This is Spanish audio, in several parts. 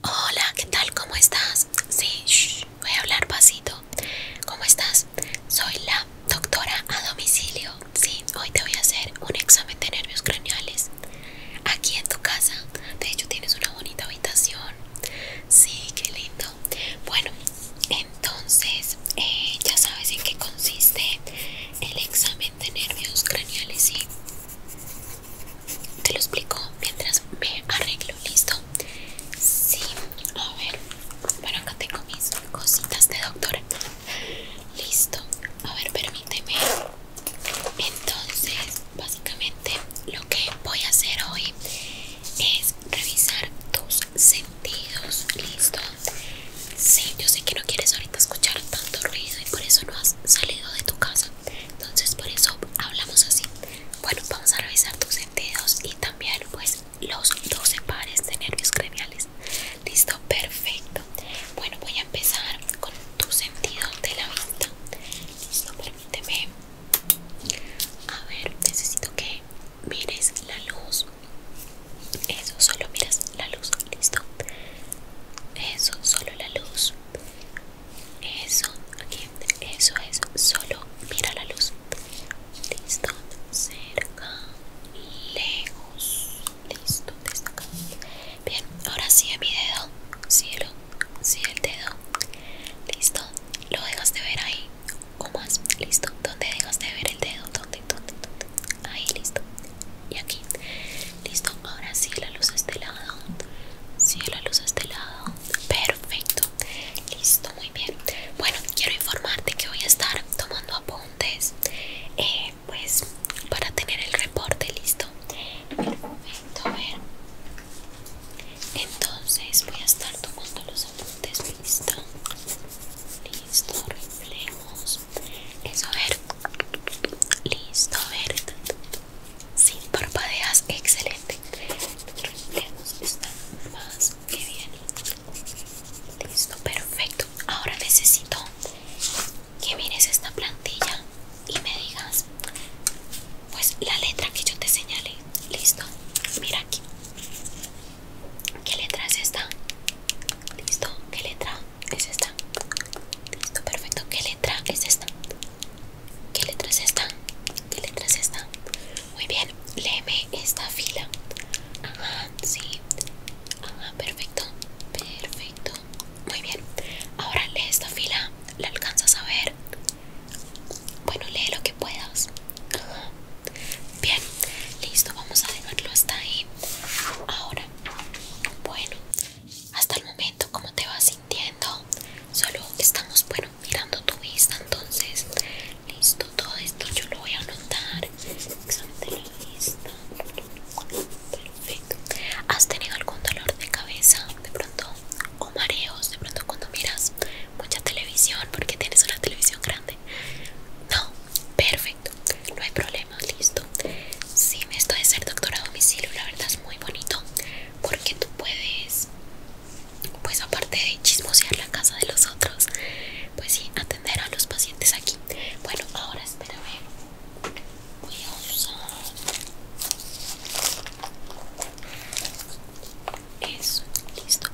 Hola, ¿qué tal? ¿Cómo estás? Sí, voy a hablar pasito. ¿Cómo estás? Soy la doctora a domicilio. Sí, hoy te voy a hacer un examen de nervios craneales. Aquí en tu casa. De hecho, tienes una bonita habitación. Sí, qué lindo. Bueno, entonces, eh, ya sabes en qué consiste el examen de nervios craneales, ¿sí? Te lo explico mientras me arreglo, ¿listo? Sí, a ver. Bueno, acá tengo mis cositas de doctor Listo. A ver, permíteme. Entonces, básicamente lo que voy a hacer hoy es revisar tus sentidos, ¿listo? Sí, yo sé que no quieres ahorita escuchar tanto ruido y por eso no has salido de tu casa entonces por eso hablamos así bueno vamos a revisar tus sentidos y también pues los 12 pares de nervios craniales listo perfecto bueno voy a empezar con tu sentido de la vista listo permíteme a ver necesito que mires la luz eso solo miras la luz listo eso solo la luz eso, aquí, eso es, solo mira la luz. Listo, cerca, lejos. Listo, desde acá. Bien, ahora sí a mi dedo. Cielo, sigue el dedo. Listo, lo dejas de ver ahí. O más, listo. ¿Dónde dejas de ver el dedo? ¿Dónde, dónde, dónde? Ahí, listo. Y aquí. Listo, ahora sí la luz a este lado. Sí, la luz a este lado. Perfecto. Listo, muy bien. Bueno, quiero informarte que voy a estar tomando apuntes. Eh, pues para tener el reporte listo. Perfecto, a ver. Entonces voy a estar tomando los apuntes. Listo. Listo, reflejos. Eso, a ver. Listo, a ver sin parpadeas, excelente. Listo, perfecto. Ahora necesito que mires esta plantilla y me digas, pues la letra que yo te señalé. Listo, mira aquí. ¿Qué letra es esta? Listo, ¿qué letra es esta? Listo, perfecto. ¿Qué letra es esta? ¿Qué letras están? ¿Qué letras están? Muy bien, léeme esta fila. Ajá, sí. Ajá, perfecto. Perfecto. Muy bien. Ahora lee esta fila. ¿La alcanzas a ver? Bueno, lee lo que puedas. Ajá. Bien, listo. Vamos a dejarlo hasta ahí. Ahora, bueno, hasta el momento cómo te vas sintiendo solo estamos bueno mirando tu vista entonces listo todo esto yo lo voy a anotar perfecto has tenido algún dolor de cabeza de pronto o mareos de pronto cuando miras mucha televisión porque tienes una televisión grande no perfecto no hay problemas. listo si me esto de ser doctora a domicilio la verdad muy bonito porque tú puedes pues aparte de chismosear la casa de los otros pues sí atender a los pacientes aquí bueno ahora espérame voy a usar eso listo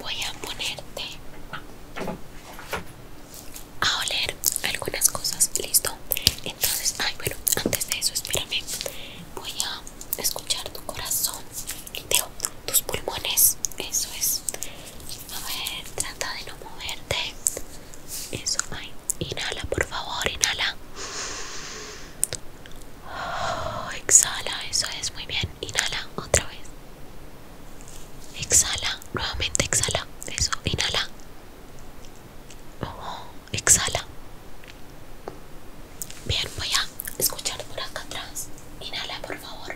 voy a ponerte a oler algunas cosas listo entonces, ay, bueno, antes de eso, espérame. Voy a escuchar tu corazón. tus pulmones. Eso es. A ver, trata de no moverte. Eso, ay. Inhala, por favor, inhala. Oh, exhala, eso es muy bien. Inhala otra vez. Exhala, nuevamente exhala. Eso, inhala. Oh, exhala. Bien, voy a escuchar por acá atrás. Inhala, por favor.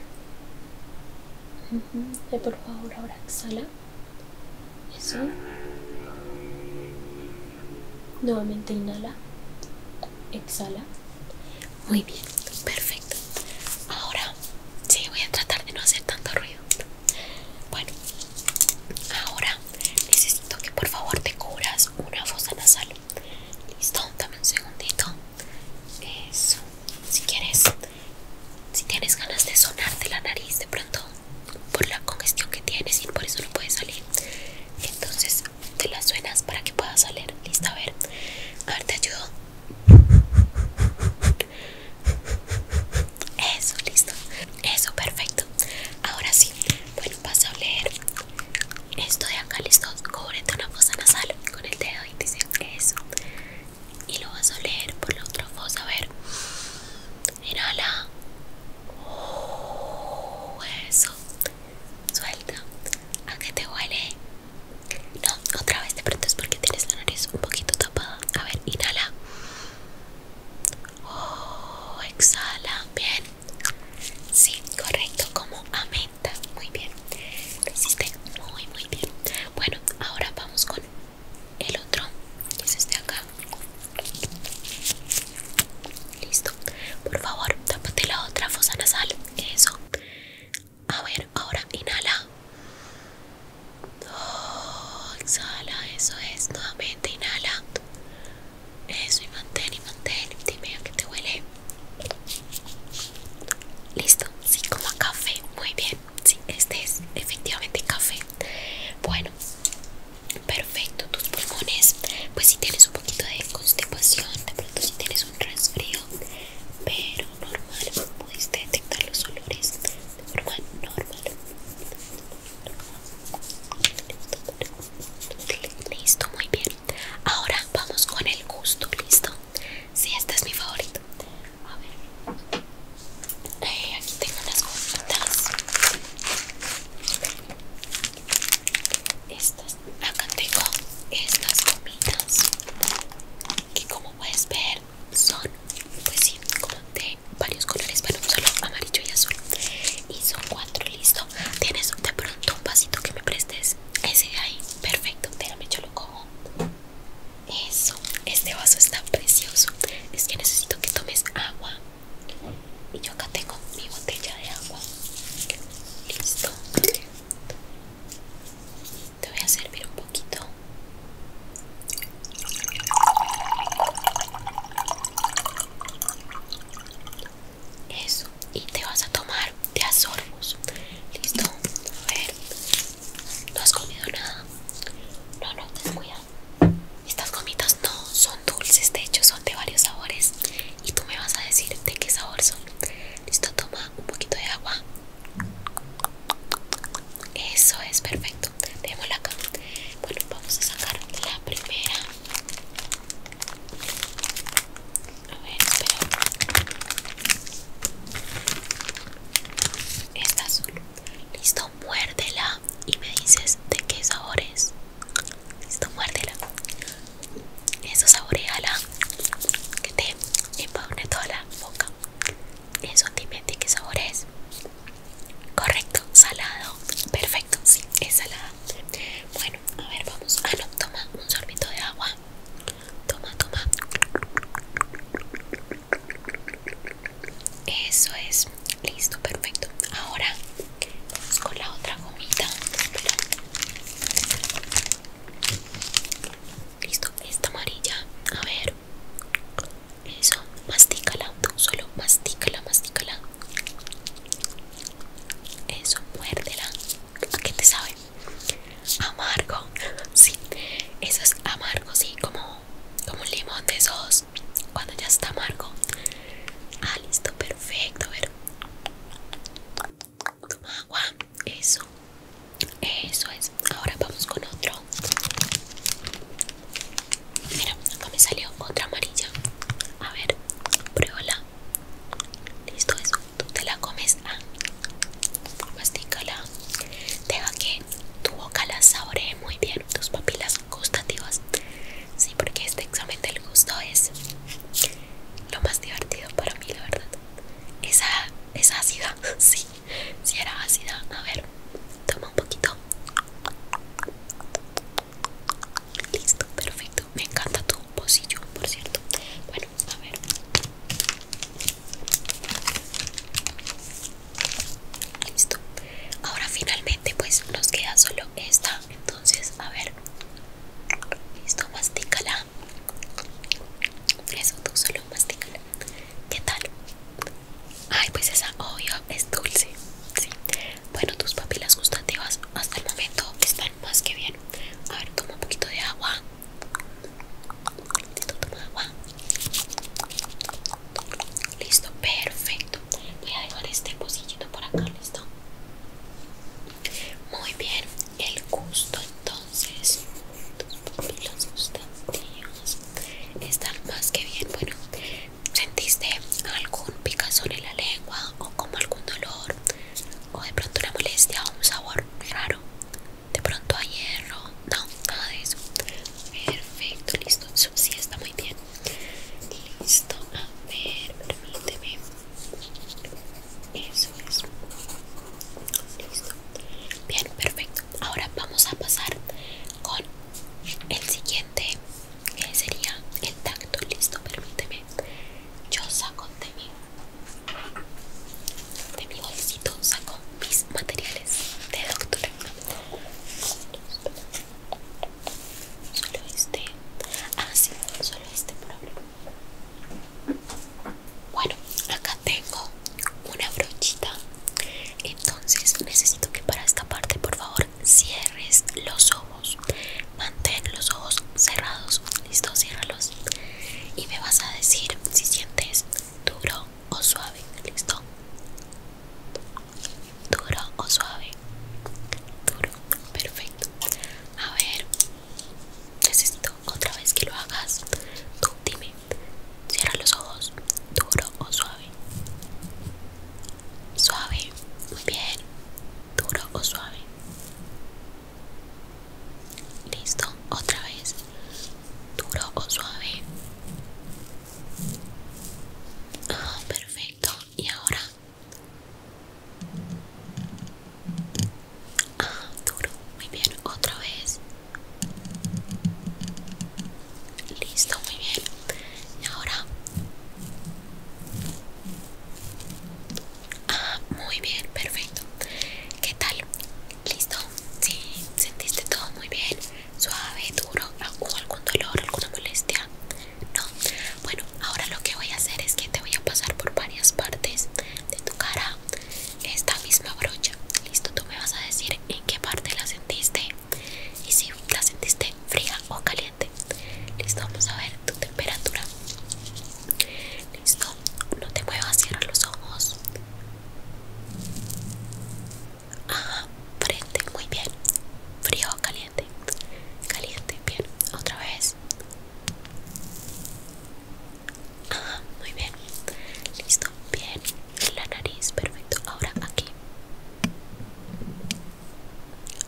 Por favor, ahora exhala. Eso. Nuevamente inhala. Exhala. Muy bien, perfecto. Ahora sí, voy a tratar de no hacer tanto ruido. Bueno, ahora necesito que por favor te cubras una fosa nasal. Listo, dame un segundito. Eso, si quieres, si tienes ganas de sonarte la nariz de pronto por la congestión que tienes y por eso no puedes salir, entonces te la suenas para que pueda salir. Listo, a ver, a ver, te ayudo. Eso, listo. Eso, perfecto. Ahora sí, bueno, vas a leer esto de acá, listo. Cúbrete una fosa nasal con el dedo y dice eso. Y lo vas a oler por la otra fosa. A ver, inhala. Uh, eso, suelta. ¿A qué te huele? No, otra vez de pronto es porque tienes la nariz un poquito tapada. A ver, inhala. Oh, exhala, bien. Sí, correcto, como amenta. Muy bien. Lo muy, muy bien. Bueno, ahora vamos con el otro, este acá. Listo. Por favor, tápate la otra fosa nasal. Eso. A ver, ahora inhala. exhala, eso es. Nuevamente inhala. Eso y mantén y mantén. Dime a qué te huele. Listo, sí, como a café. Muy bien. Sí, este es efectivamente café. Bueno, perfecto. Tus pulmones, pues si tienes un poquito de constipación, de pronto si tienes un resfrío, pero normal, pudiste detectar los olores normal, normal. Listo, muy bien. Ahora vamos con el gusto, listo. Sí, este es mi favorito. A ver, eh, aquí tengo las gomitas. Estas, acá tengo estas gomitas que como puedes ver son, pues sí, como de varios colores, bueno, solo amarillo y azul Y son cuatro, listo Tienes de pronto un vasito que me prestes Ese de ahí, perfecto, déjame yo lo cojo Eso, este vaso está precioso Es que necesito que tomes agua Y yo acá tengo mi botella de agua Listo Te voy a servir un poquito eso, y te vas a tomar de a Listo, a ver. ¿No has comido nada? No, no, cuidado Estas gomitas no son dulces, de hecho son de varios sabores. Y tú me vas a decir de qué sabor son. Listo, toma un poquito de agua. Eso es perfecto. Démosla acá. Bueno, vamos a sacar la primera. A ver, espera. Esta azul. Listo, muérdela y me dices de qué sabores es. Listo, muérdela. Eso saboreala. Que te empaune toda la boca. Eso dime de qué sabores Correcto, salado. Perfecto, sí, es salada. Bueno, a ver, vamos. Ah, no, toma un sorbito de agua. Toma, toma. Eso es. Listo, perfecto. Ahora vamos con la otra gomita. Listo, esta amarilla. A ver. Eso, mastícala, solo mastícala, mastícala. Eso, muérdela. ¿A qué te sabe? Amargo, sí. Eso es amargo, sí, como, como un limón de esos cuando ya está amargo. Ah, listo, perfecto. A ver. agua, eso. Eso es. Ahora vamos con otro. Mira, acá me salió otra amarilla. A ver, pruébala. Listo, eso. Tú te la comes. Ah, va Deja que tu boca la saboree muy bien. Tus papilas gustativas. Sí, porque este examen del gusto es lo más divertido para mí, la verdad. Esa es ácida. Sí, si sí era ácida. A ver, toma un poquito. Listo, perfecto. Me encanta tu pocillo, por cierto. Bueno, a ver. Listo. Ahora finalmente pues nos queda solo esta. Entonces, a ver. Listo, mastícala. Eso, tú solo mastícala. ¿Qué tal? Ay, pues esa obvio es dulce. Sí. Bueno, tus papilas gustativas hasta el momento están más que bien. A ver, toma un poquito de agua. Toma agua. Listo, perfecto. Voy a dejar este pocillito por acá, listo. Muy bien, el gusto entonces. Tus papilas gustativas están más que bien. Bueno, ¿Sentiste algún picazón en la lengua o como algún dolor o de pronto una molestia o un sabor raro? De pronto a hierro, no, nada de eso. Perfecto, listo. Eso sí está muy bien. Listo, a ver, permíteme. Eso es. Listo. Bien, perfecto. Ahora vamos a pasar con el siguiente eh, sería el tacto, listo, permíteme. Yo saco de mi, bolsito, saco mis materiales de doctor. Solo este. Ah, solo este problema. Bueno, acá tengo una brochita. Entonces necesito que para esta parte, por favor cierres los ojos mantén los ojos cerrados listo ciérralos y me vas a decir si sientes duro o suave listo duro o suave duro perfecto a ver necesito otra vez que lo hagas tú dime cierra los ojos duro o suave Suave, muy bien. Duro o suave. Listo, otra vez. Duro o suave. Ah, perfecto. Y ahora. Ah, duro. Muy bien, otra vez. Listo, muy bien. Y ahora. Ah, muy bien, perfecto. ¿Qué tal? ¿Listo? Sí, sentiste todo muy bien. Suave, duro. alguna algún dolor, alguna molestia? No. Bueno, ahora lo que voy a hacer es que te voy a pasar por varias partes de tu cara esta misma brocha. Listo, tú me vas a decir en qué parte la sentiste. Y si la sentiste fría o caliente listo vamos a ver tu temperatura listo no te muevas cierra los ojos ajá frente muy bien frío o caliente caliente bien otra vez ajá muy bien listo bien la nariz perfecto ahora aquí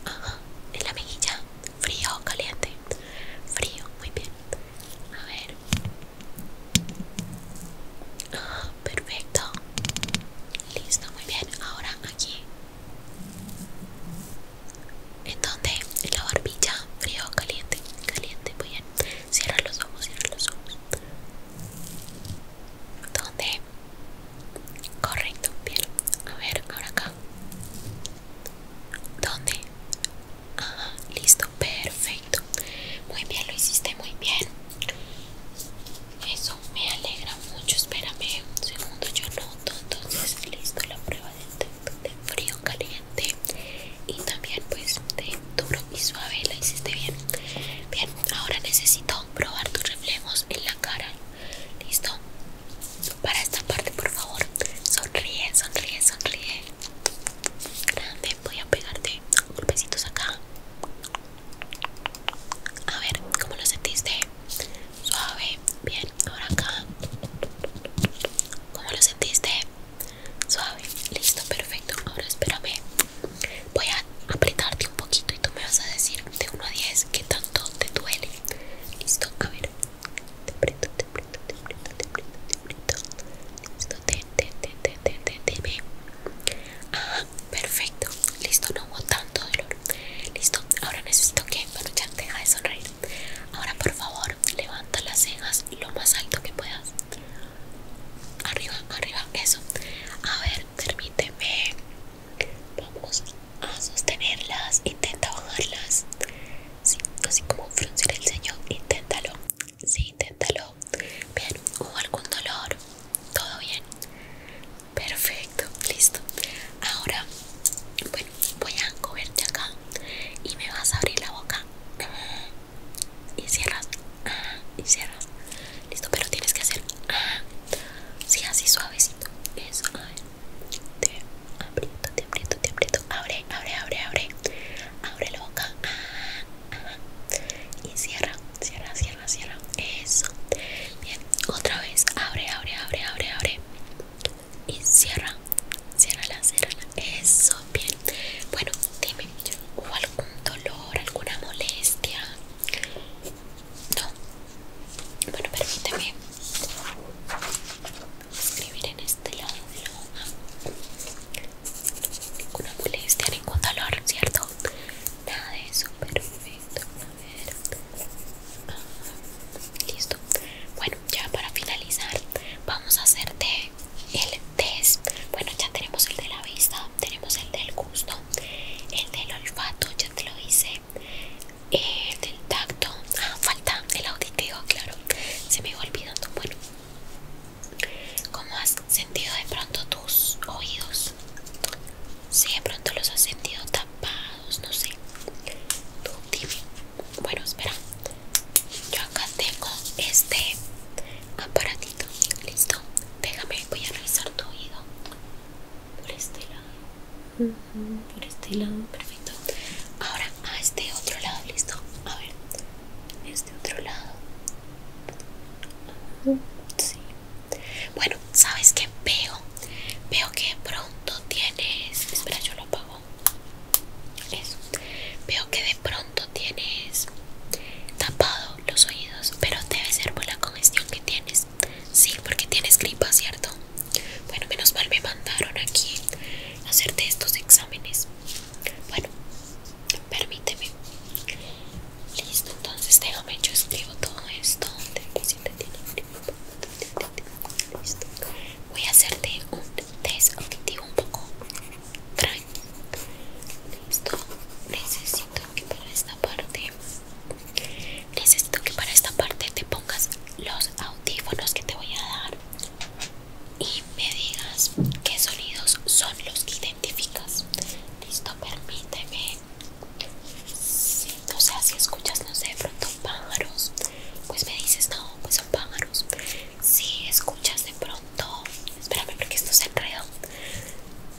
Ajá, en la mejilla, frío o caliente. Frío, muy bien. A ver. perfecto. Listo, muy bien. Ahora aquí. ¿En dónde? En la barbilla, frío o caliente. Caliente, muy bien. Cierra los ojos, cierra los ojos. ¿Dónde? correcto bien a ver ahora acá ¿Dónde? Ajá, listo, perfecto. Muy bien, lo hiciste muy bien. Eso me alegra mucho. Espérame un segundo, yo noto. Entonces, listo, la prueba de, de frío, caliente y también, pues, de duro y suave. La hiciste bien. Bien, ahora necesito probar tus reflejos en la cara. ¿Listo? Para esta parte, por favor, sonríe, sonríe, sonríe. Grande, voy a pegarte golpecitos acá. A ver, ¿cómo lo sentiste? Suave, bien, ahora acá. ¿Cómo lo sentiste? Suave, listo, perfecto. Ahora espérame. Voy a apretarte un poquito y tú me vas a decir de 1 a 10 que tanto te duele. Listo, a ver. Te aprieto, te aprieto, te aprieto, te aprieto, te aprieto. Listo, te, te, te, te, te, te, ve ah, perfecto. Listo, no hubo tanto dolor. Listo, ahora necesito que, bueno, ya deja de sonreír. Ahora, por favor, levanta las cejas lo más alto que puedas. Arriba, arriba, eso. A ver, permíteme. Vamos a sostenerlas, intenta bajarlas. Sí, así como fruncir el ceño, inténtalo. Sí, inténtalo. Bien, ¿hubo algún dolor? ¿Todo bien? Perfecto, listo. Ahora, bueno, voy a cogerte acá y me vas a abrir la boca. Y cierras, y cierras. Listo, pero tienes que hacer así, así suavecito Eso, a Te aprieto, te aprieto, Abre, abre, abre, abre Abre la boca Y cierra, cierra, cierra, cierra Eso Bien, otra vez Abre, abre, abre, abre, abre Y cierra Cierra la, cierra Eso, bien Bueno, dime, ¿hubo algo un dolor, alguna molestia? No. Bueno, permíteme escribir en este lado de la hoja. Ninguna molestia, ningún dolor, ¿cierto? Nada de eso, perfecto. A ver. Ah, listo. Bueno, ya para finalizar, vamos a hacerte el test. Bueno, ya tenemos el de la vista, tenemos el del gusto el del olfato ya te lo hice el eh, del tacto ah, falta el auditivo claro se me iba olvidando bueno ¿Cómo has sentido de pronto tus oídos? Si sí, de pronto los has sentido tapados, no sé. Bueno, espera. Yo acá tengo este aparato listo. Déjame, voy a revisar tu oído por este lado, por este lado, perfecto. Ahora a este otro lado, listo. A ver, este otro lado. Bueno, sabes que veo, veo que de pronto tienes. Espera, yo lo apago. Eso. Veo que de pronto tienes tapado los oídos, pero debe ser por la congestión que tienes. Sí, porque tienes gripa, ¿cierto? Bueno, menos mal me mandaron aquí a hacerte estos exámenes. Bueno, permíteme. Listo, entonces déjame, yo escribo todo esto. Listo. Voy a hacerte un test auditivo un poco extraño. Listo, necesito que para esta parte necesito que para esta parte te pongas los audífonos que te voy a dar y me digas qué sonidos son los que identificas listo permíteme o sea si escuchas no sé de pronto pájaros pues me dices no pues son pájaros si escuchas de pronto espérame porque esto se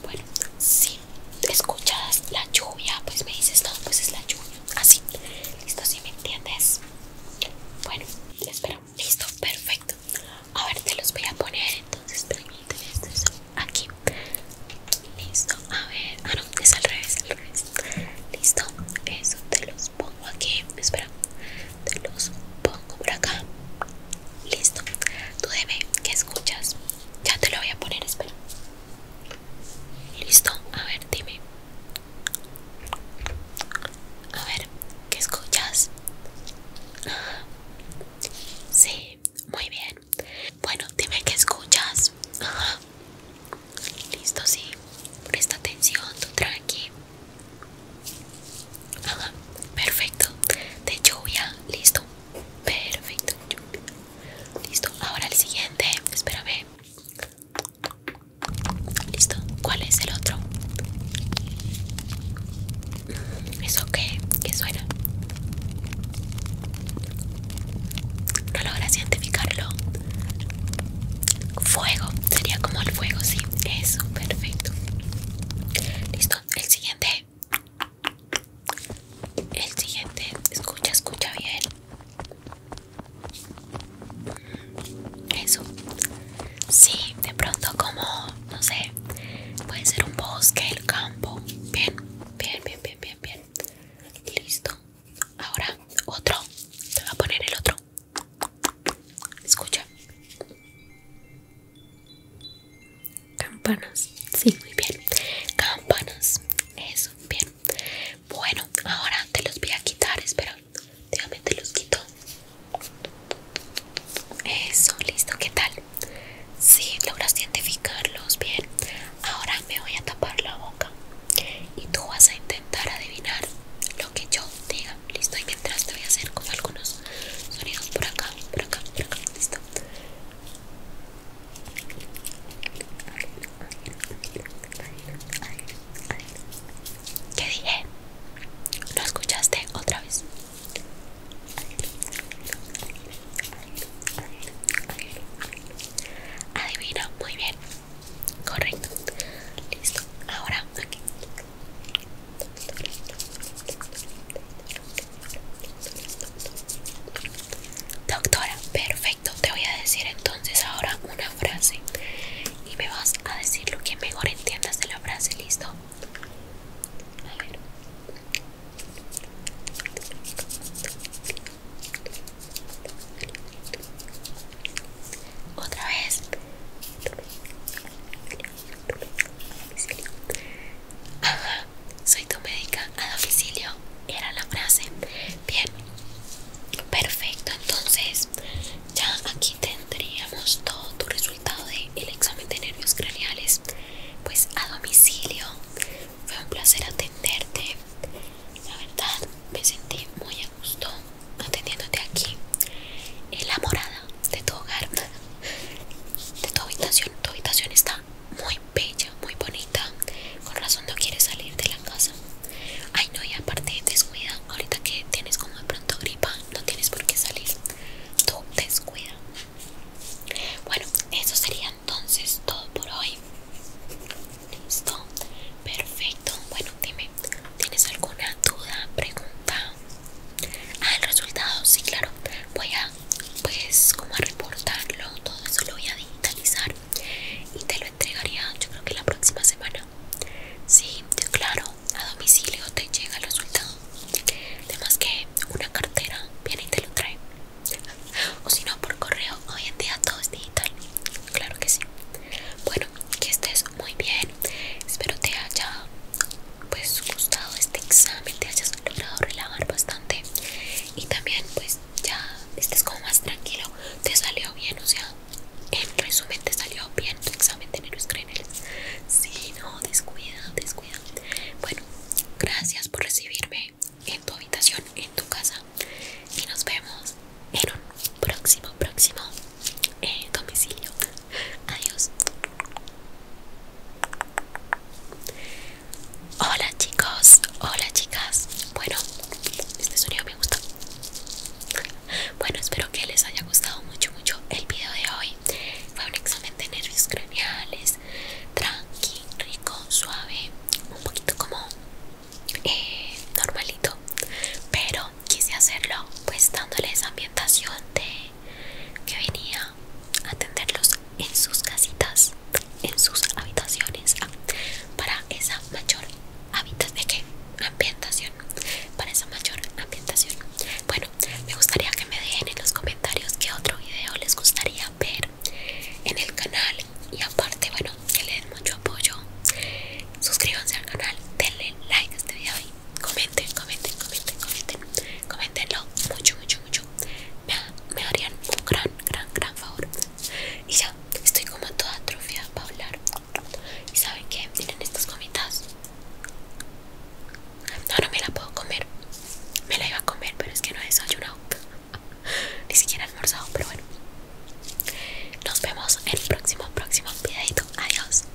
bueno si escuchas la lluvia, pues me dices, no, pues es la lluvia. Así, listo, si me entiendes. Bueno, espero. Listo, perfecto. A ver, te los voy a poner. Entonces, permíteme, estos aquí. Listo, a ver. Ah, no, es al revés, al revés. Listo, eso te los pongo aquí. Espera, te los pongo por acá. Listo. Tú dime, ¿qué escuchas? Ya te lo voy a poner, espera. Listo. A ver, dime. A ver, ¿qué escuchas? Sí, muy bien. Bueno, dime qué escuchas. Listo, sí. Presta atención, tú tranqui. perfecto. De lluvia, listo. Perfecto. Listo. Ahora el siguiente. ve Listo. ¿Cuál es el otro? ¿Eso qué? ¿Qué suena? No logras identificarlo. Fuego. Sería como el fuego, sí. Eso, perfecto. Listo. El siguiente. El siguiente, escucha, escucha bien. Eso. Sí, de pronto como, no sé, puede ser un bosque, el campo. Bien, bien, bien, bien, bien, bien. Listo. Ahora, otro. Te voy a poner el otro. Escucha. Campanas, sí, muy bien. Campanas, eso, bien. Bueno, ahora te los voy a quitar, espera. Dígame, te los quito. Eso, listo, ¿qué tal? Sí, logras identificarlos bien. Ahora me voy a tapar la boca y tú vas a intentar adivinar lo que yo diga. Listo, y mientras te voy a hacer con algunos sonidos por acá, por acá, por acá. Listo. ¿Qué dije? ¿Lo escuchaste otra vez? Adivina, muy bien. Correcto. Listo. Ahora Doctora, perfecto. Te voy a decir entonces ahora una frase y me vas a decir lo que mejor entiendas de la frase, ¿listo? A ver. Otra vez. Ajá, soy tu médica a domicilio, era la frase. Bien, perfecto. Entonces, ya aquí tendríamos todo tu resultado del examen de nervios craneales. Pues a domicilio, fue un placer atenderte. La verdad, me sentí muy a gusto atendiéndote aquí en la morada de tu hogar de tu habitación. Tu habitación está muy bella, muy bonita. Con razón no quieres salir de la casa. Ay no, y aparte descuida. Ahorita que tienes como de pronto gripa, no tienes por qué salir. Tú descuida. Bueno, eso sería entonces todo por hoy. Listo, perfecto. Bueno, dime, ¿tienes alguna duda, pregunta? Ah, el resultado, sí, claro. Voy a, pues, como a reportarlo. Todo eso lo voy a digitalizar y te lo entregaría, yo creo que la próxima semana. Sí, claro, a domicilio te llega el resultado. Además que una cartera viene y te lo trae. O si no, por correo. Hoy en día todo es digital. Claro que sí. Bueno, que estés muy bien. Espero te haya pues gustado este examen, te hayas logrado relajar bastante y también pues ya estés como más tranquilo, te salió bien, o sea, en resumen te salió bien tu examen de nervios craniales. Sí, no, descuida, descuida. Bueno, gracias por recibirme en tu habitación, en tu casa y nos vemos en un próximo, próximo eh, domicilio. Adiós. Hola chicos, hola chicas. Bueno, este sonido me gusta. Bueno, espero que les haya gustado mucho, mucho el video de hoy. Fue un examen de nervios craneales, tranqui, rico, suave, un poquito como eh, normalito, pero quise hacerlo pues dándoles ambientación de que venía a atenderlos en sus casitas, en sus habitaciones, ah, para esa mayor habitación, ¿de Ambientación, para esa mayor ambientación. Bueno, me gustaría que me dejen en los comentarios qué otro video les gustaría ver en el canal y aparte, bueno, que le den mucho apoyo. Suscríbanse al canal, denle like a este video y comenten, comenten, comenten, comenten Coméntenlo mucho, mucho, mucho. Me, harían un gran, gran, gran favor. Y ya, estoy como toda atrofiada para hablar. ¿Y saben qué? Miren estas gomitas. No, no me la puedo comer. Me la iba a comer, pero es que no he desayunado. Ni siquiera almorzado, pero bueno. Nos vemos en el próximo, próximo videito. Adiós.